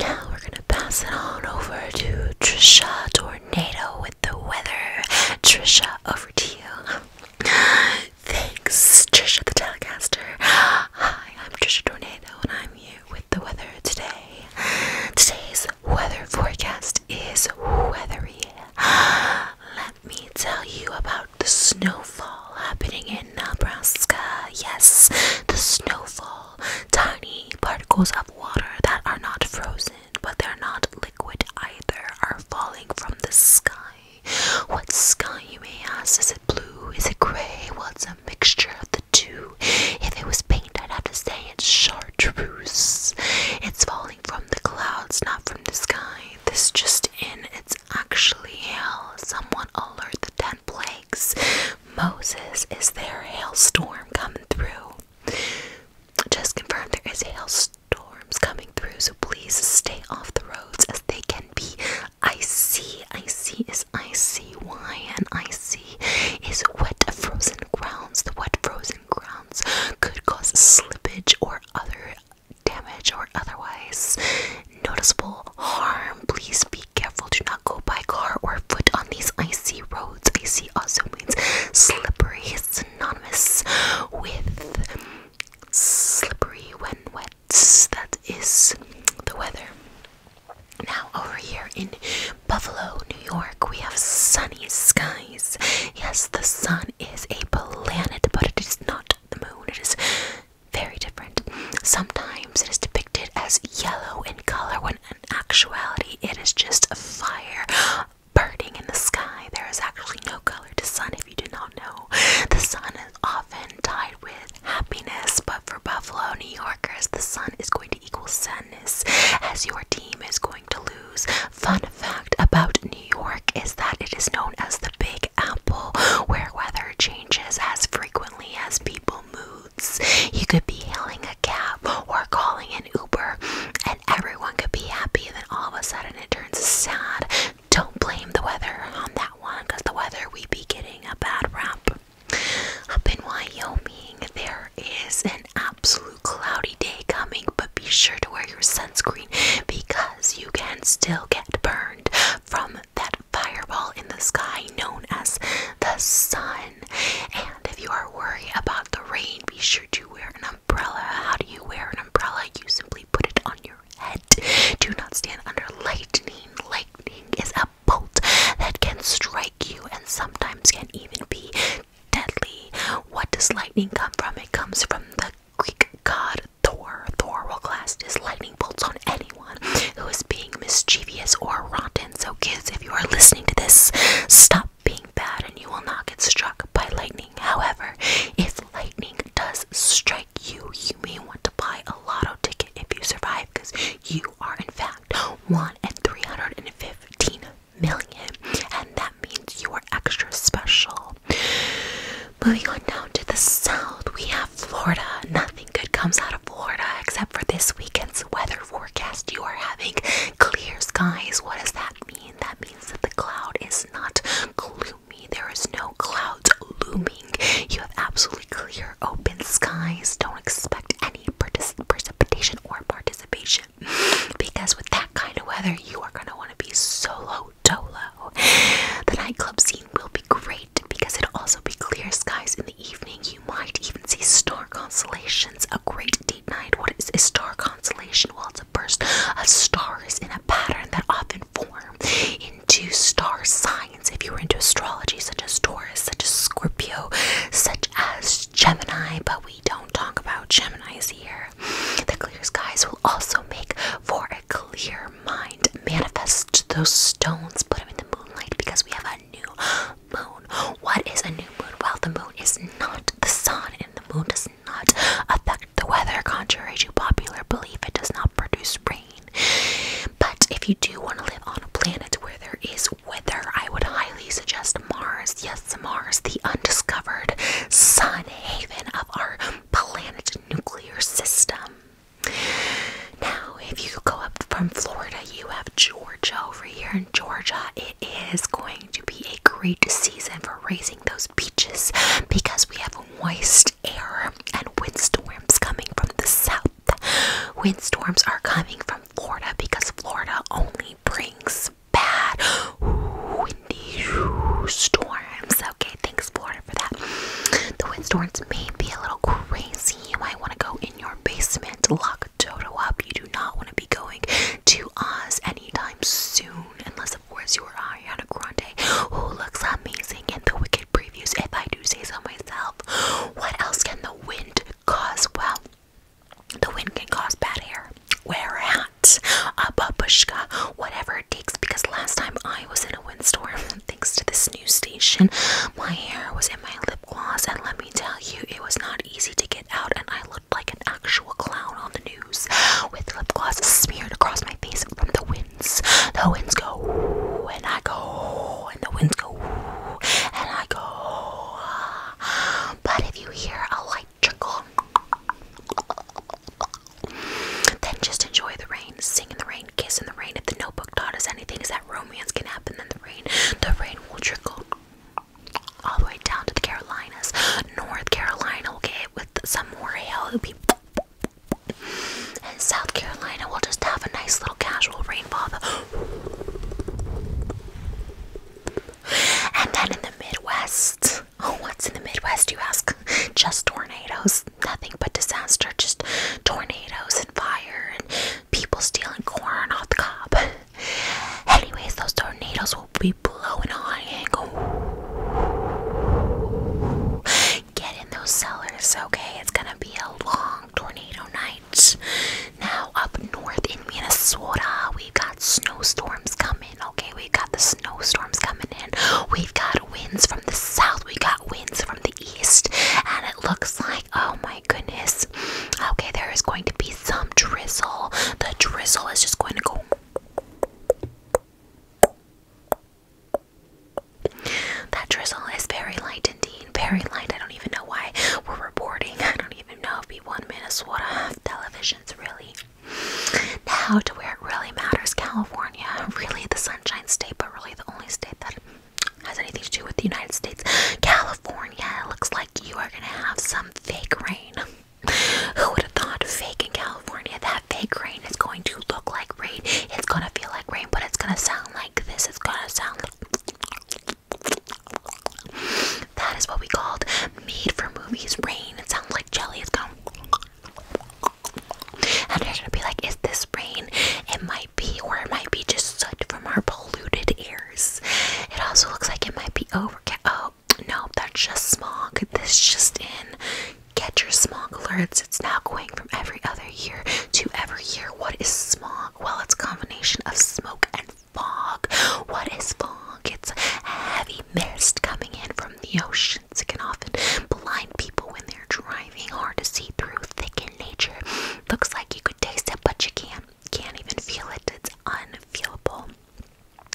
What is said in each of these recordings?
Now we're gonna pass it on over to Trisha Tornado with the weather. Trisha, over to you. Thanks, Trisha the Telecaster. Hi, I'm Trisha Tornado and I'm here with the weather today. Today's weather forecast is weathery. Let me tell you about the snowfall happening in Nebraska. Yes, the snowfall tiny particles of water that are not frozen but they're not liquid either are falling from the sky. What sky, you may ask? Is it blue? Is it gray? Well, it's a mixture of the two. If it was paint, I'd have to say it's chartreuse. It's falling from the clouds, not from the sky. This just in, it's actually hail. Someone alert the tent Moses, is there a hailstorm coming through? Just confirmed, there is hailstorms coming through, so please stay off the roads as they can be icy. Icy is icy. Why? And icy is wet, frozen grounds. The wet, frozen grounds could cause slippage or other damage or otherwise noticeable harm. Please be careful. Do not go by car or foot on these icy roads. Icy also means slippery. It's synonymous with slippery when wet. That is the weather. Now, over here in Buffalo, New York, we have sunny skies. Yes, the sun is a planet, but it is not the moon. It is very different. Sometimes it is depicted as yellow in color when in actuality it is just a fire burning in the sky. There is actually no color to sun if you do not know. The sun is often tied with happiness, but for Buffalo New Yorkers, the sun is going to equal sadness as your team is going to lose. Fun fact about New York is that it is known as the Big Apple, where weather changes as frequently as people moods. You could be hailing a cab or calling an Uber, and everyone could be happy, and then all of a sudden it turns sad. Don't blame the weather on that one, because the weather we be getting a bad rap. Up in Wyoming, there is an absolute cloudy day coming, but be sure to wear your sunscreen because you can still get burned from that fireball in the sky known as the sun. And if you are worried about the rain, be sure to wear an umbrella. How do you wear an umbrella? You simply put it on your head. Do not stand under lightning. Lightning is a bolt that can strike you and sometimes can even be deadly. What does lightning come from? It comes from the Greek god Thor. Thor will cast his lightning bolts on anyone who is being mischievous or rotten. So, kids, if you are listening to this, stop being bad and you will not get struck by lightning. However, if lightning does strike you, you may want to buy a lotto ticket if you survive because you are, in fact, 1 in 315 million, and that means you are extra special. Moving on down to the south, we have Florida. Nothing good comes out of Florida except for this weekend's weather forecast. You are having clear skies. What does that mean? That means that the cloud is not gloomy, there is no clouds looming. You have absolutely clear, open skies. Don't expect any precipitation or participation because with that kind of weather, you are going to want to be solo Dolo. The nightclub scene will be great because it'll also be clear skies in the evening. You might even see star constellations. A great deep night. What is a star constellation? Well, it's a burst of stars in a pattern that often form into star signs. If you were into astrology, such as Taurus, such as Scorpio, such as Gemini, but we don't talk about Geminis here. The clear skies will also make for a clear mind. Manifest those stones, put them in the moonlight because we have a new moon. What is a new moon? Well, the moon is not the sun, and the moon does not affect the weather. Contrary to popular belief, it does not produce rain. But if you do want to live on a planet where there is weather, I would highly suggest Mars. Yes, Mars, the undiscovered sun haven of our planet nuclear system. Now, if you go up from Florida, you have Georgia over here. In Georgia, it is going to be a great season for raising those peaches because we have moist air and windstorms coming from the south. Windstorms are coming from Florida because Florida only brings bad, windstorms. Okay, thanks Florida for that. The windstorms may be a little crazy. You might want to go in your basement, to lock Toto up. You do not want to be going to Oz anytime soon, unless of course you are Ariana Grande, who looks amazing in the Wicked previews. If I do say so myself, what else can the wind cause? Well. The wind can cause bad hair, wear a hat, whatever because last time I was in a windstorm, thanks to this new station, my hair was in my lip gloss, and let me tell you, it was not easy to get out, and I looked like an actual clown on the news with lip gloss smeared across my face from the winds. The winds go, and I go, and the winds go, and I go. Ah. But if you hear a light trickle, then just enjoy the rain, sing in the rain, kiss in the rain. If the notebook taught us anything, is that romance can happen in the rain. The rain will trickle all the way down to the Carolinas. North Carolina will get hit with some more hail. it and South Carolina will just have a nice little casual rainfall. And then in the Midwest, Oh, what's in the Midwest, you ask? Just tornadoes. Nothing but disaster. Just tornadoes and fire and people stealing corn off the cob. Anyways, those tornadoes will be blowing high angle. Get in those cellars, okay? It's gonna be a long tornado night. Now, up north in Minnesota, we've got snowstorms coming okay? We've got the snowstorms coming in. We've got winds from the south. We got winds from the east. And it looks like, oh my goodness. Okay, there is going to be some drizzle. The drizzle is just going to go. That drizzle is very light indeed. Very light. I don't even know why we're reporting. I don't even know if we want won Minnesota television's really now to where it really matters, California, really the sunshine state, but really the only state that has anything to do with the United States. California, it looks like you are gonna have some fake rain. Who would have thought fake in California? That fake rain is going to look like rain. It's gonna feel like rain, but it's gonna sound like this. It's gonna sound like that is what we called made for movies rain. It sounds like jelly is gone. And they're gonna be like, is this rain? It might be, or it might be just soot from our polluted airs. It also looks like it might be overcast. Oh, no, that's just smog. This just in. Get your smog alerts. It's now going from every other year to every year. What is smog? Well, it's a combination of smoke and fog. What is fog? It's a heavy mist coming in from the oceans. It can often blind people when they're driving. Hard to see through, thick in nature. Looks like you could taste it, but you can't. Can't even feel it. It's unfeelable.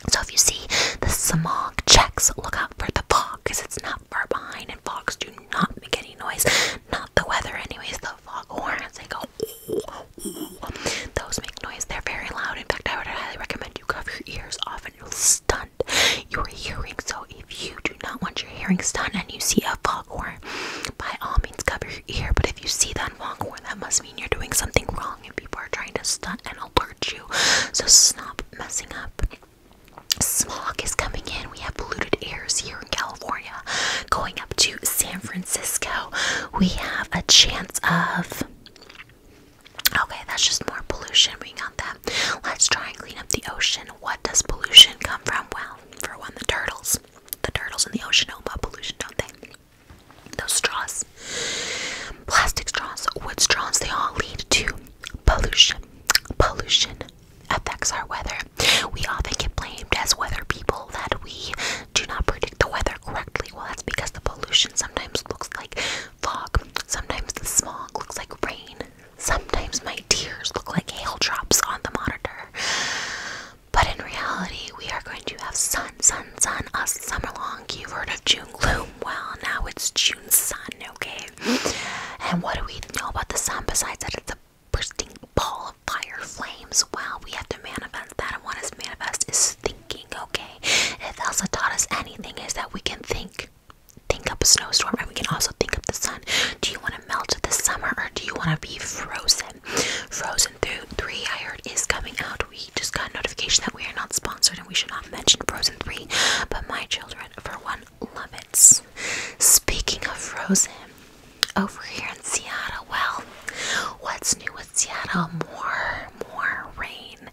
So if you see the smog checks, look out for the fog because it's not far behind and fogs do not make any noise. Not the weather anyways, the fog horns, they go ooh, ooh noise. They're very loud. In fact, I would highly recommend you cover your ears off and you'll stunt your hearing. So if you do not want your hearing stunned and you see a foghorn, by all means cover your ear. But if you see that foghorn, that must mean you're doing something wrong and people are trying to stunt and alert you. So stop messing up. Smog is coming in. We have polluted airs here in California. Going up to San Francisco, we have a chance of Okay, that's just more pollution. We got that. Let's try and clean up the ocean. What does pollution come from? Well, for one, the turtles. The turtles in the ocean know about pollution, don't they? Those straws, plastic straws, wood straws, they all lead to pollution. Pollution affects our weather. We often get blamed as weather people that we do not predict the weather correctly. Well, that's because the pollution sometimes looks like fog, sometimes the smog looks like rain, sometimes my tears look like hail drops on the monitor. But in reality, we are going to have sun, sun, sun, a summer long. You've heard of June gloom. Well, now it's June sun, okay? And what do we know about the sun besides that it's a bursting ball of fire flames? Well, we have to manifest that, and what is manifest is thinking, okay? If Elsa taught us anything, is that we can think, think up a snowstorm, and we can also think up the sun. Do you want to melt this summer, or do you want to be frozen? Frozen three, I heard, is coming out. We just got notification that we are not sponsored, and we should not mention Frozen three. But my children, for one, love it. Speaking of Frozen, over here in Seattle, well, what's new with Seattle, more, more rain.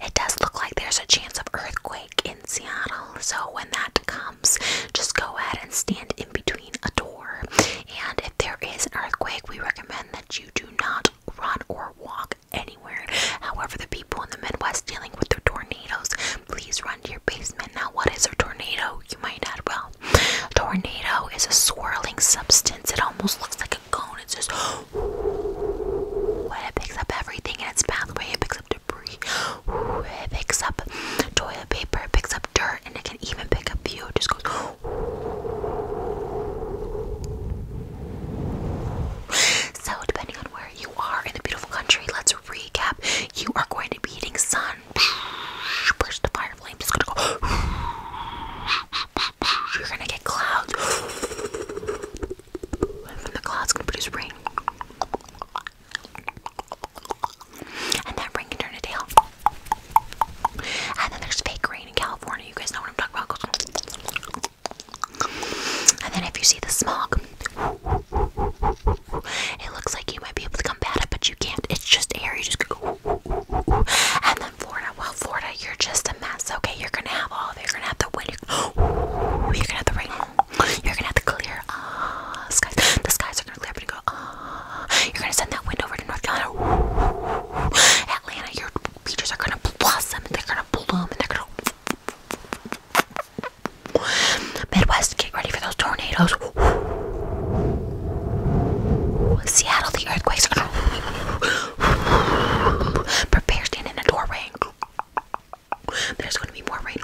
It does look like there's a chance of earthquake in Seattle. So when that comes, just go ahead and stand in between a door. And if there is an earthquake, we recommend that you do not run or walk anywhere. However, the people in the Midwest dealing with their tornadoes, please run to your basement. Now, what is a tornado? You might add well. Tornado is a swirling substance. It almost looks like a a It's just and it picks up everything in its pathway. It picks up debris. It picks up toilet paper. It picks up dirt, and it can even pick up you. It just goes. So depending on where you are in the beautiful country, let's recap. You are going to be eating sun. Push the fire flames. It's gonna go. You're gonna get clouds. And from the clouds gonna produce rain. And that rain can turn to hail. And then there's fake rain in California. You guys know what I'm talking about. And then if you see the smog, it looks like you might be able to combat it, but you can't. It's just air. You just go. And then Florida, well, Florida, you're just a mess. Okay, you're gonna have all of it. You're gonna have the wind. You're gonna have the rain. You're gonna have the clear uh, skies. The skies are gonna clear up and go. Uh, you're gonna send that wind over to North Carolina. Atlanta, your beaches are gonna blossom. And they're gonna bloom. And they're gonna. Midwest, get ready for those tornadoes. Seattle, the earthquakes are Prepare standing in the doorway. There's gonna be more rain.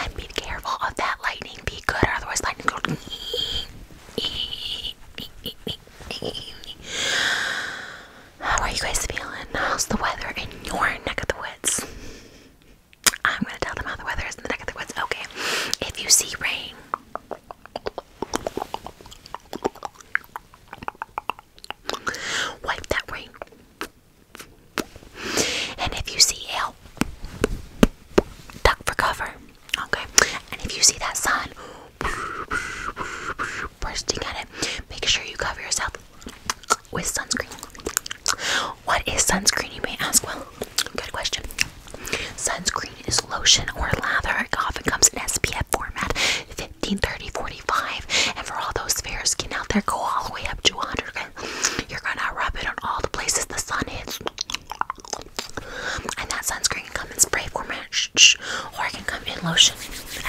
And be careful of that lightning. Be good, otherwise lightning How are you guys feeling? How's the weather in your neck of the woods? I'm gonna tell them how the weather is in the neck of the woods. Okay, if you see rain, wipe that rain. And if you see hail, duck for cover. Okay, and if you see that sun bursting at it, make sure you cover yourself with sunscreen. What is sunscreen, you may ask? Well, good question. Sunscreen is lotion or lather. It often comes in SPF format 15, 45. And for all those fair skin out there, go all the way up to 100. You're gonna rub it on all the places the sun hits. And that sunscreen can come in spray format or it can come in lotion.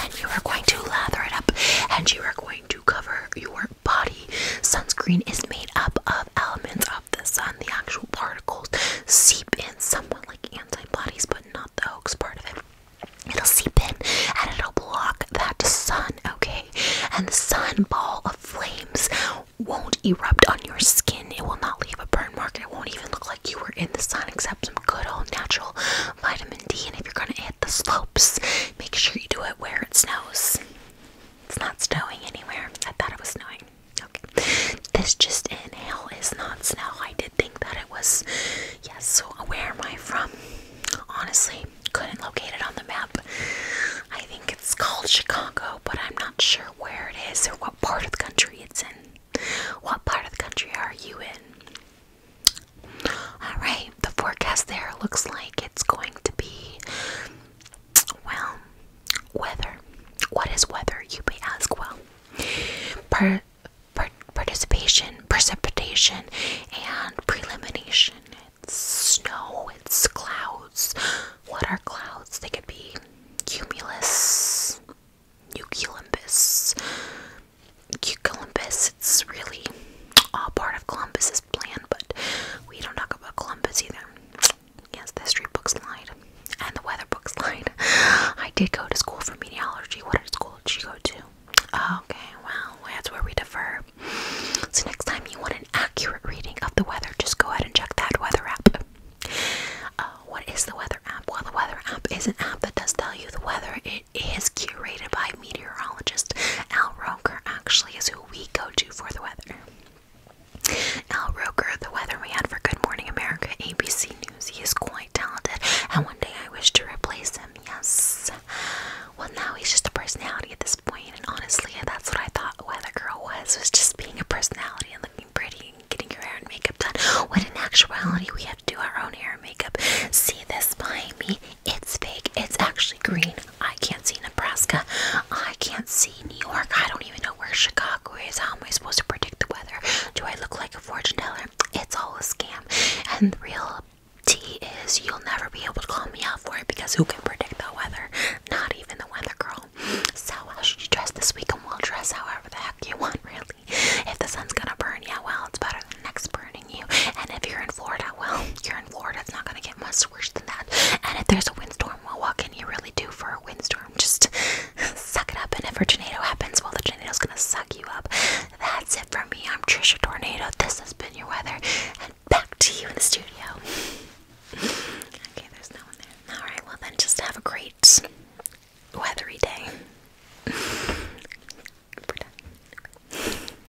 And you are going to lather it up and you are going to cover your body. Sunscreen is made up of elements of the sun, the actual particles seep in somewhat like antibodies, but not the hoax part of it. It'll seep in and it'll block that sun, okay? And the sun ball of flames won't erupt on your skin. It will not leave a burn mark. It won't even look like you were in the sun, except some good old natural vitamin D. And if you're gonna hit the slopes, make sure you do it where it snows. It's not snowing anywhere. I thought it was snowing. Okay. This just in hell is not snow. I did think that it was. Yes, so where am I from? Honestly, couldn't locate it on the map. I think it's called Chicago, but I'm not sure where it is or what part of the country it's in. What part of the country are you in? Alright, the forecast there looks like it's going to be well, weather. What is weather? You may ask. Well, per, per, participation, precipitation, and prelimination. It's snow, it's clouds. What are clouds? They could be cumulus, nucleus, cuculimbus. It's really all part of Columbus's plan, but we don't talk about Columbus either. Yes, the history books lied. And the weather books lied. I did go to school for meteorology. What school did she go to? Okay, well, that's where we defer. So next time you want an accurate reading of the weather, just go ahead and check that weather app. Uh, what is the weather app? Well, the weather app is an app that does tell you the weather. It is curated by meteorologist Al Roker, actually, is who we go to for the weather. Al Roker, the weather we for Good Morning America, ABC News, he is quite talented, and one day I wish to replace him, yes. Well, now he's just a personality at this point, and honestly, that's what I thought Weather Girl was, was just being a personality and looking pretty and getting your hair and makeup done, when in actuality, we have to do our own hair and makeup. See this behind me? It's fake. It's actually green. I can't see Nebraska. I can't see New York. I don't even know where Chicago is. How am I supposed to predict the weather? Do I look like a fortune teller? It's all a scam. And the real T is you'll never be able to call me out for it because who can predict the weather? Not even the weather girl. So how should you dress this week? And we'll dress however the heck you want, really. If the sun's gonna burn, yeah, well, it's better than next burning. And if you're in Florida, well, you're in Florida, it's not gonna get much worse than that. And if there's a windstorm, well, what can you really do for a windstorm? Just suck it up. And if a tornado happens, well, the tornado's gonna suck you up. That's it for me. I'm Trisha Tornado. This has been your weather, and back to you in the studio. okay, there's no one there. All right, well then, just have a great weathery day.